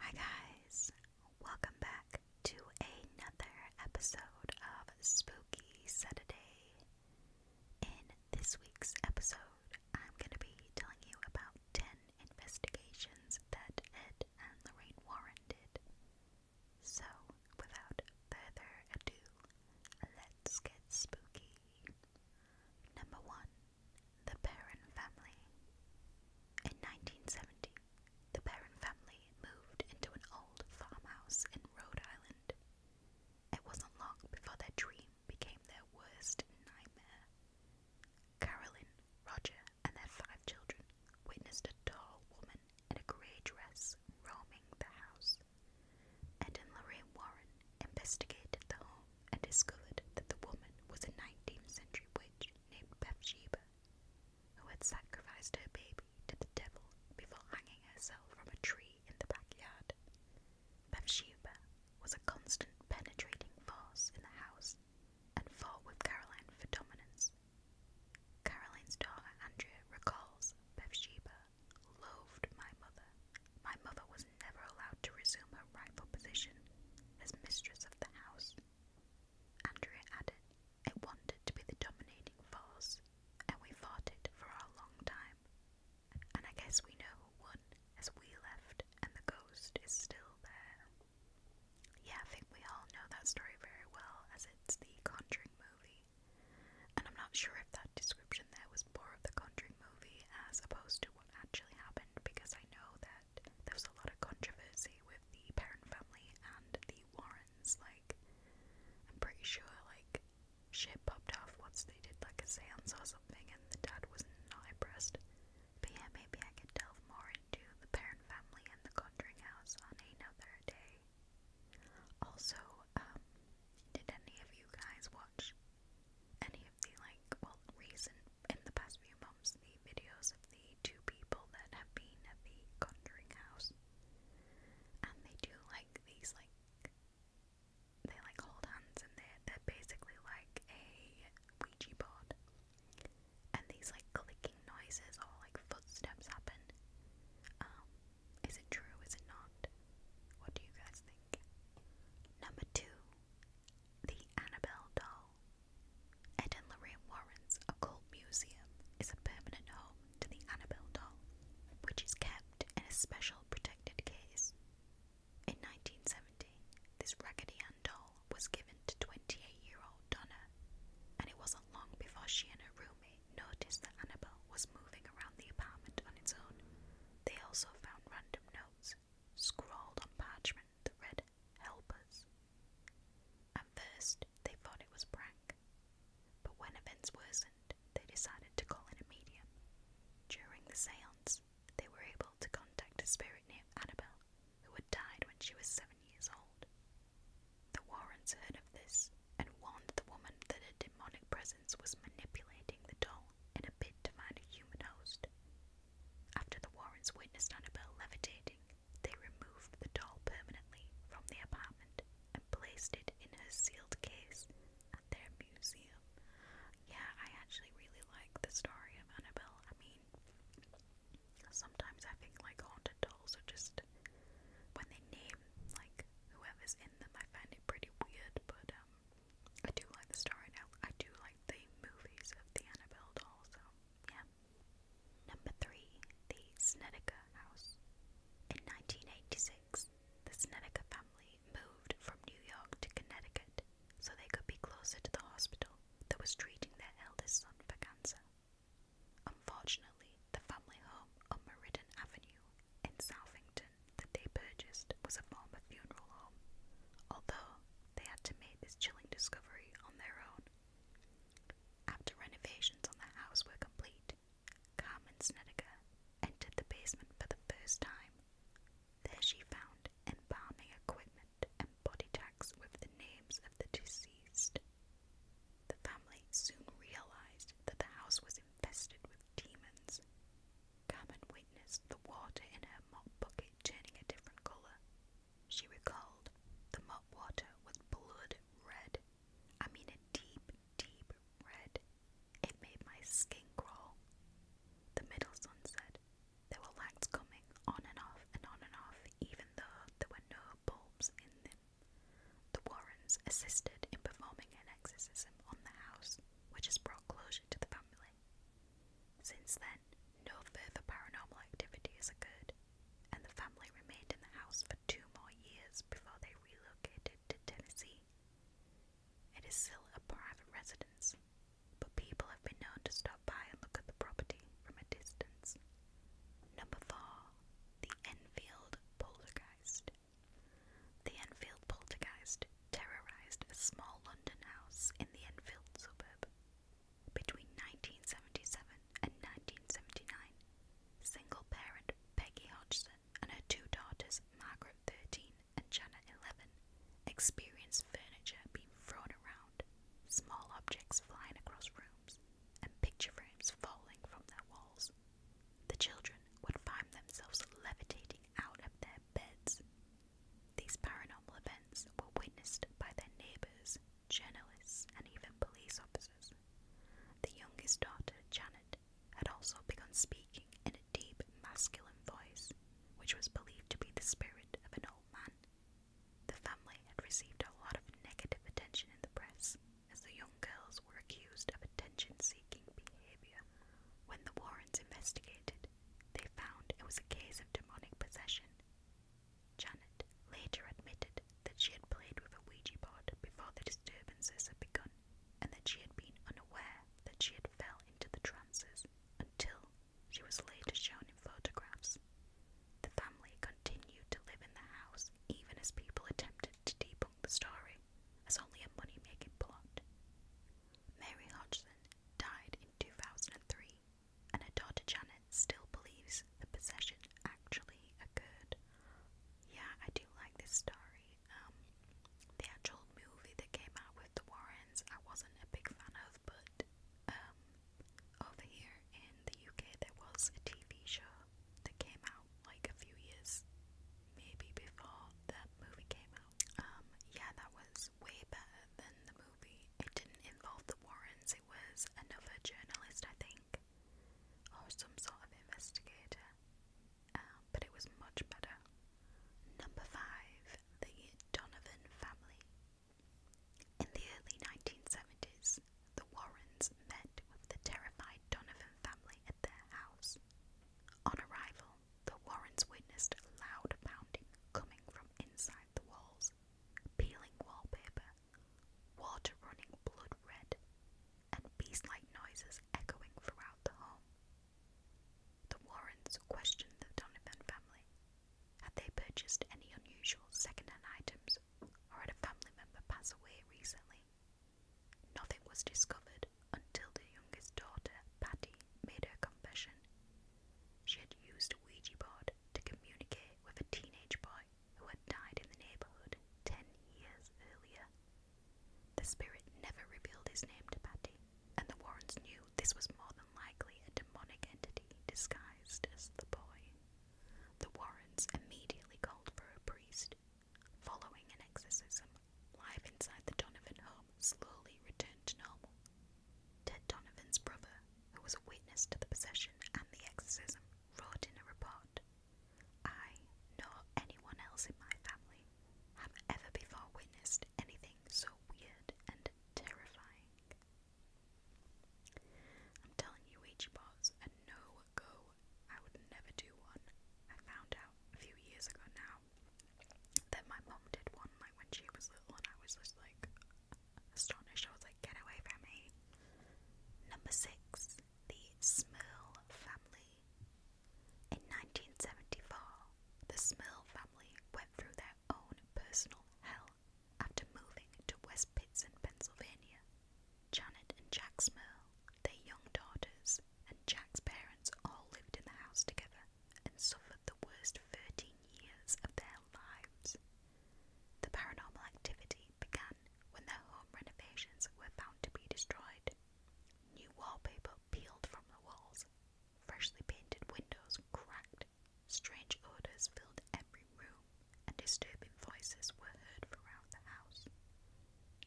Hi, guys! Welcome back to another episode of Spooky Saturday. In this week's episode, I'm going to be telling you about 10 investigations that Ed and Lorraine Warren did. So, without further ado, let's get spooky. Number one the Perrin family. In 1970, the Perrin family moved into an old farmhouse in Rhode Island. It wasn't long before their dream became their worst nightmare. Carolyn, Roger, and their five children witnessed a tall woman in a grey dress roaming the house. And in Lorraine Warren investigated the home and discovered that the woman was a 19th century witch named Bethsheba, who had sacrificed her baby to the devil before hanging herself from a tree in the backyard. Bethsheba was a constant penetrating force in the house and fought with Caroline for dominance. Caroline's daughter Andrea recalls Bethsheba loved my mother. My mother was never allowed to resume her rightful position as mistress of the house. Andrea added, I wanted to be the dominating force, and we fought it for a long time. And I guess we know who as we left, and the ghost is still there. Yeah, I think we all know that story very well, as it's the Conjuring movie. And I'm not sure if that description there was more of the Conjuring movie as opposed to what actually happened, because I know that that there was a lot of controversy with the parent family and the Warrens. Like, I'm pretty sure, like, shit popped off once they did, like, a seance or something, and the dad was not impressed. But yeah, maybe I could delve more into the parent family and the Conjuring House on another day. Also, um, did any of you guys watch any of the like well recent in the past few months the videos of the two people that have been at the conjuring house and they do like these like they like hold hands and they they're basically like a Ouija board and these like clicking noises or like footsteps happen. Um, is it true? Is it not? What do you guys think? Number two, the Annabelle doll. Ed Lorraine Warren's Occult Museum is a permanent home to the Annabelle doll, which is kept in a special protected case. In 1970, this Raggedy Ann doll was given to 28-year-old Donna, and it wasn't long before she and her roommate noticed that Annabelle was moving around the apartment on its own. They also found random notes scrawled on parchment that read help us. At first, they thought it was prank, but when events worsened, they decided to call in a medium. During the seance, they were able to contact a spirit named Annabel, who had died when she was seven years old. The Warrens heard of this and warned the woman that a demonic presence was manipulating the doll in a bid to find a human host. After the Warrens witnessed Annabelle levitating, they removed the doll permanently from the apartment and placed it in a sealed case at their museum. Yeah, I actually really like the story of Annabelle. I mean, sometimes I think like haunted dolls are just when they name like whoever's in them, I find it pretty weird. But um, I do like the story now. I do the movies of the Annabelle doll, so yeah. Number three, the Snedeker House. In 1986, the Snedeker family moved from New York to Connecticut so they could be closer to the hospital that was treating their eldest son for Unfortunately, the family home on Meriden Avenue in Southington that they purchased was a former funeral home, although they had to make this chilling discovery on their own. After renovations on the house were complete, Carmen Snedeker entered the basement for the first time. There she found embalming equipment and body tags with the names of the deceased. The family soon realized that the house was infested with demons. Carmen witnessed the water in her mop bucket turning a different colour. She recalled the mop water was blood red. I mean, a deep, deep red. It made my skin crawl. The middle son said there were lights coming on and off and on and off, even though there were no bulbs in them. The Warrens assisted in performing an exorcism on the house, which has brought closure to the family. Since then, no further paranormal activity has occurred, and the family remained in the house for two more years before they relocated to Tennessee. It is still a private residence, but people have been known to stop by and look at the property from a distance. Number 4. The Enfield Poltergeist. The Enfield Poltergeist terrorised a small London house in the Enfield suburb. Between 1977 and 1979, single parent Peggy Hodgson and her two daughters, Margaret 13 and Janet 11, experienced furniture being thrown around, small objects flying across rooms, and picture frames falling from their walls. The children would find themselves levitating out of their beds these paranormal events were witnessed by their neighbours, journalists, and even police officers. The youngest daughter, Janet, had also begun speaking in a deep masculine voice, which was believed to be the spirit of an old man. The family had received a lot of negative attention in the press, as the young girls were accused of attention seeking behaviour. When the Warrens investigated, they found it was a case of demonic possession. Janet later admitted that she had played with a Ouija board before the disturbances had begun and that she had been unaware that she had fell into the trances until she was later shown in photographs. The family continued to live in the house even as people attempted to debunk the story as only a money making plot. Mary Hodgson died in 2003 and her daughter Janet still believes the possession actually occurred. Yeah, I do like this story. Um, the actual movie that came out with the Warrens, I wasn't a big fan of, but um, over here in the UK, there was a TV show that came out like a few years, maybe before that movie came out. Um, yeah, that was way better than the it didn't involve the Warrens, it was another journalist, I think, or some sort of investigator. Um, but it was much better. Number five, the Donovan family. In the early 1970s, the Warrens met with the terrified Donovan family at their house. On arrival, the Warrens witnessed loud pounding coming from inside the walls, peeling wallpaper, water running blood red, and beast-like noises echoing throughout the home. The Warrens questioned the Donovan family. Had they purchased any unusual second-hand items, or had a family member pass away recently? Nothing was discovered until the youngest daughter, Patty, made her confession she had used a Ouija board to communicate with a teenage boy who had died in the neighbourhood ten years earlier. The spirit never revealed his name to Patty, and the Warrens knew this was more than likely a demonic entity disguised as the boy. The Warrens immediately called for a priest. Following an exorcism, live inside the Donovan home, slowly returned to normal. Ted Donovan's brother, who was a witness to the possession and the exorcism, wrote in a report I, nor anyone else in my family, have ever before witnessed anything so weird and terrifying. I'm telling you, Ouija boards are no go. I would never do one. I found out a few years ago now now. my mum did one like when she was little, and I was just like astonished. I was like, "Get away from me!" Number six, the Smurl family. In 1974, the Smurl family went through their own personal hell after moving to West Pitts Pittston, Pennsylvania. Janet and Jack Smurl, their young daughters, and Jack's parents all lived in the house together and suffered the worst 13 years of their lives. The paranormal activity began when their home renovations were found to be destroyed. New wallpaper peeled from the walls, freshly painted windows cracked, strange odours filled every room, and disturbing voices were heard around the house.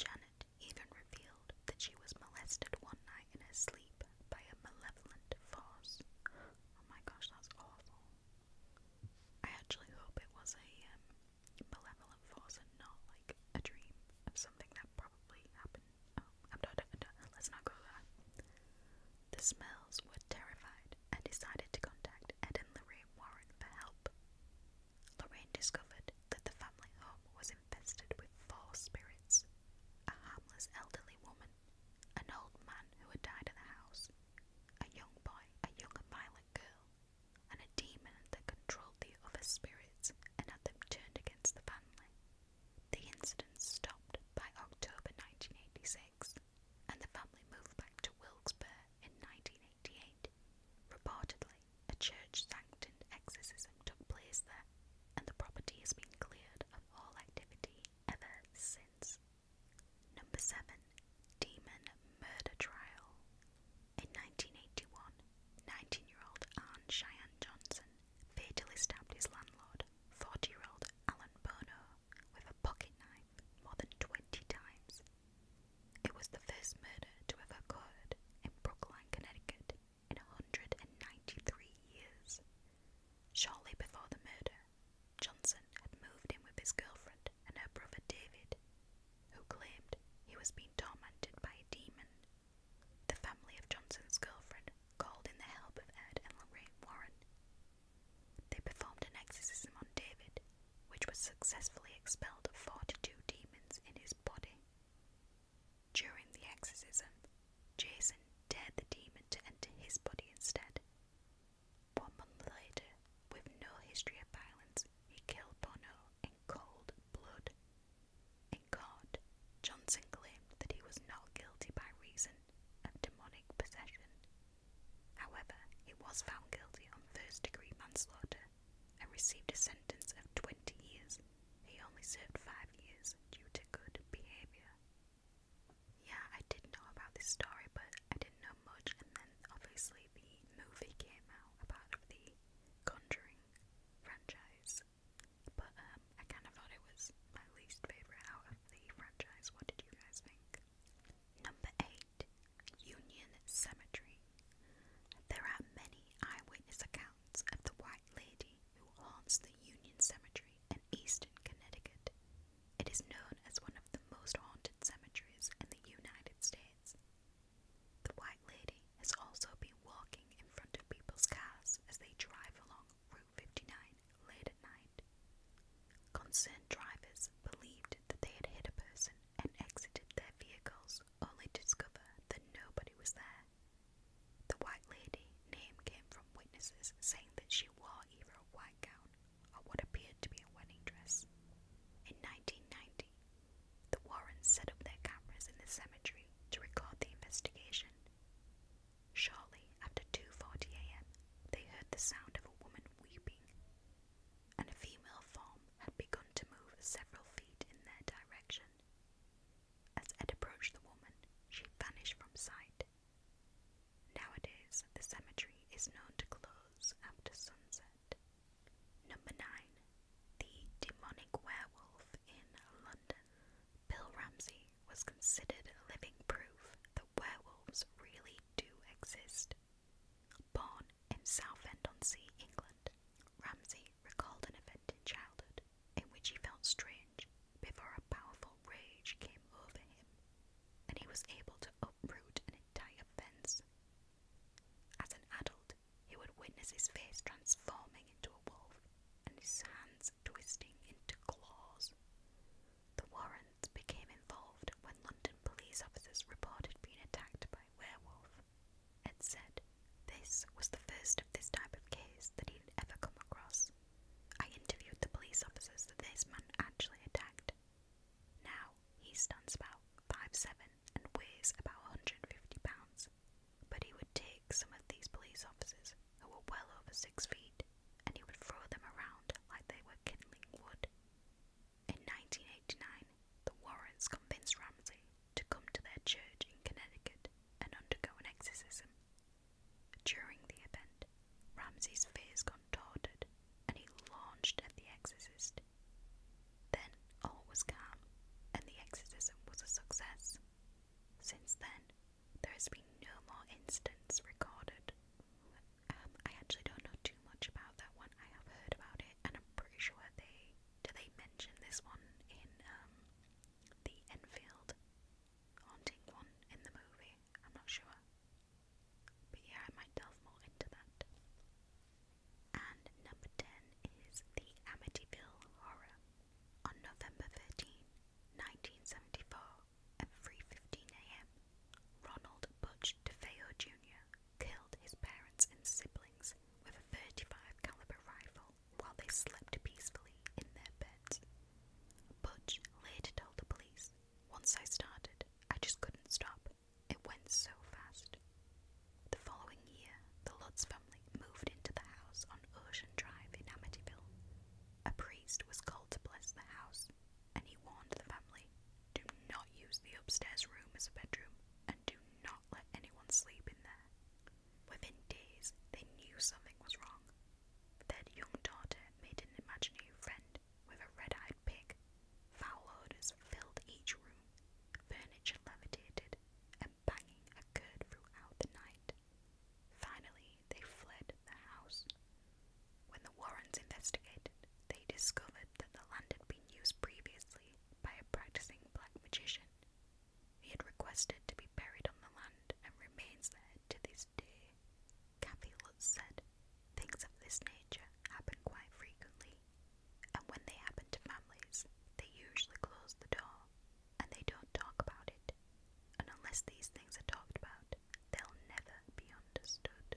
Janet even revealed that she was molested one night in her sleep by a malevolent force. Oh my gosh, that's awful. I actually hope it was a um, malevolent force and not like a dream of something that probably happened. Oh, I'm not, I'm not, let's not go there. The Smells were terrified and decided to contact Ed and Lorraine Warren for help. Lorraine discovered that the family home was infested with four spirits. A harmless elderly woman woman, an old man who had died in the house, a young boy, a young and violent girl, and a demon that controlled the other spirits and had them turned against the family. The incident stopped by October 1986, and the family moved back to Wilkes-Barre in 1988. Reportedly, a church sanctioned exorcism took place there, and the property has been cleared all activity ever since. Number 7. Demon Murder Trial. In 1981, year old Arne Cheyenne Johnson fatally stabbed his landlord, 40 year old Alan Bono, with a pocket knife more than 20 times. It was the first murder to have occurred in Brookline, Connecticut in 193 years. Shortly before the murder, Johnson had moved in with his girlfriend and her brother David, who claimed he was being tormented by a demon. The family of Johnson's girlfriend called in the help of Ed and Lorraine Warren. They performed an exorcism on David, which was successfully expelled 42 demons in his body. During the exorcism, Jason dared the demon to enter his body instead. One month later, with no history of violence, he killed Bono in cold blood. In court, Johnson claimed that he was not guilty by reason of demonic possession. However, he was found guilty on first degree manslaughter and received a sentence of 20 years. He only served five years due to good behaviour. Yeah, I did know about this story, but I didn't know much, and then obviously the movie came out, a the Conjuring franchise. But um, I kind of thought it was my least favourite out of the franchise. What did you guys think? Number 8 Union Cemetery. There are many eyewitness accounts of the White Lady who haunts the Union Cemetery in Easton, Connecticut. It is known as one of the most haunted cemeteries in the United States. The White Lady has also been walking in front of people's cars as they drive along Route 59 late at night. Concerned drivers believed that they had hit a person and exited their vehicles only to discover that nobody was there the White Lady named came from witnesses saying that she wore either a white gown or what appeared to be a wedding dress. In 1990, the Warrens set up their cameras in the cemetery to record the investigation. Shortly after 2:40 a.m., they heard the sound of a woman weeping, and a female form had begun to move several feet in their direction. As Ed approached the woman, she vanished from sight. Nowadays, the cemetery is known to close after sunset. Number 9. The Demonic Werewolf in London. Bill Ramsey was considered living proof that werewolves really do exist. Born in Southend-on-Sea, England, Ramsey recalled an event in childhood in which he felt strange before a powerful rage came over him and he was able to uproot an entire fence. As an adult, he would witness his face transforming into a wolf and his hands twisting into claws. The Warrens became involved when London police officers reported being attacked by a werewolf and said this was the first of this type of case that he would ever come across. I interviewed the police officers that this man actually attacked. Now he stands about 5'7 and weighs about 150 pounds, but he would take some of these police officers who were well over six feet and he would throw them around like they were kindling wood. In 1989, the Warrens convinced Ramsey to come to their church in Connecticut and undergo an exorcism during the event, Ramsay's fears contorted and he launched at the exorcist. Then all was calm and the exorcism was a success. Since then, there has been no more incidents recorded. Um, I actually don't know too much about that one. I have heard about it, and I'm pretty sure they do. They mention this one in um, the Enfield haunting one in the movie. I'm not sure. But yeah, I might delve more into that. And number 10 is the Amityville Horror. On November 13, at 3.15am, Ronald Butch DeFeo Jr. killed his parents and siblings with a 35 caliber rifle while they slept peacefully in their beds. Butch later told the police, Once I started, I just couldn't stop. It went so fast. The following year, the Lutz family moved into the house on Ocean Drive in Amityville. A priest was called to bless the house, and he warned the family do not use the upstairs room as a bedroom and do not let anyone sleep in there. Within days, they knew something was wrong. Their young daughter made an imaginary friend with a red eyed pig. Foul odors filled each room, furniture levitated, and banging occurred throughout the night. Finally, they fled the house. When the Warrens investigated, they discovered that the land had been used previously by a practicing black magician. He had requested to be currently buried on the land and remains there to this day. Kathy Lutz said, Things of this nature happen quite frequently, and when they happen to families, they usually close the door and they don't talk about it. And unless these things are talked about, they'll never be understood.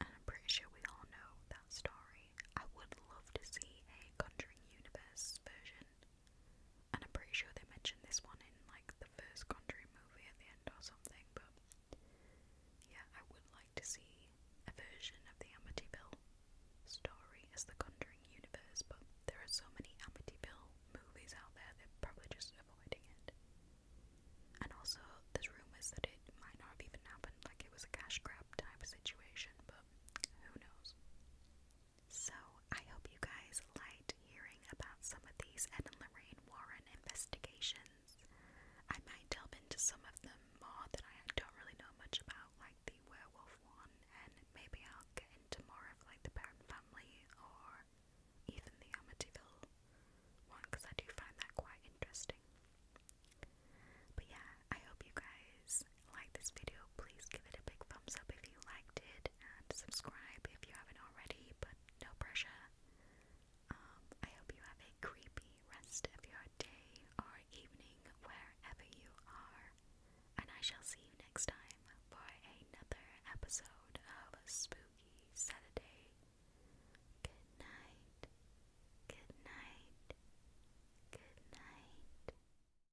And I'm pretty sure we all know that story. I would love to see a Conjuring Universe version and I'm pretty sure they mentioned this one in like the first Conjuring movie at the end or something, but yeah, I would like to see a version of the Amityville story as the Conjuring universe, but there are so many Amityville movies out there, they're probably just avoiding it. And also, there's rumours that it might not have even happened, like it was a cash grab type situation, but who knows? So, I hope you guys liked hearing about some of these Ed and Lorraine Warren investigations. I might delve into some of them more that I don't really know much about, like the werewolf one, and maybe I'll get into more of like the parent family or even the Amityville one because I do find that quite interesting. But yeah, I hope you guys like this video, please give it a big thumbs up if you liked it, and subscribe if you haven't already, but no pressure. Um, I hope you have a creepy rest of your day or evening wherever you are, and I shall see you next time for another episode of Spooky Saturday. Good night. Good night. Good night.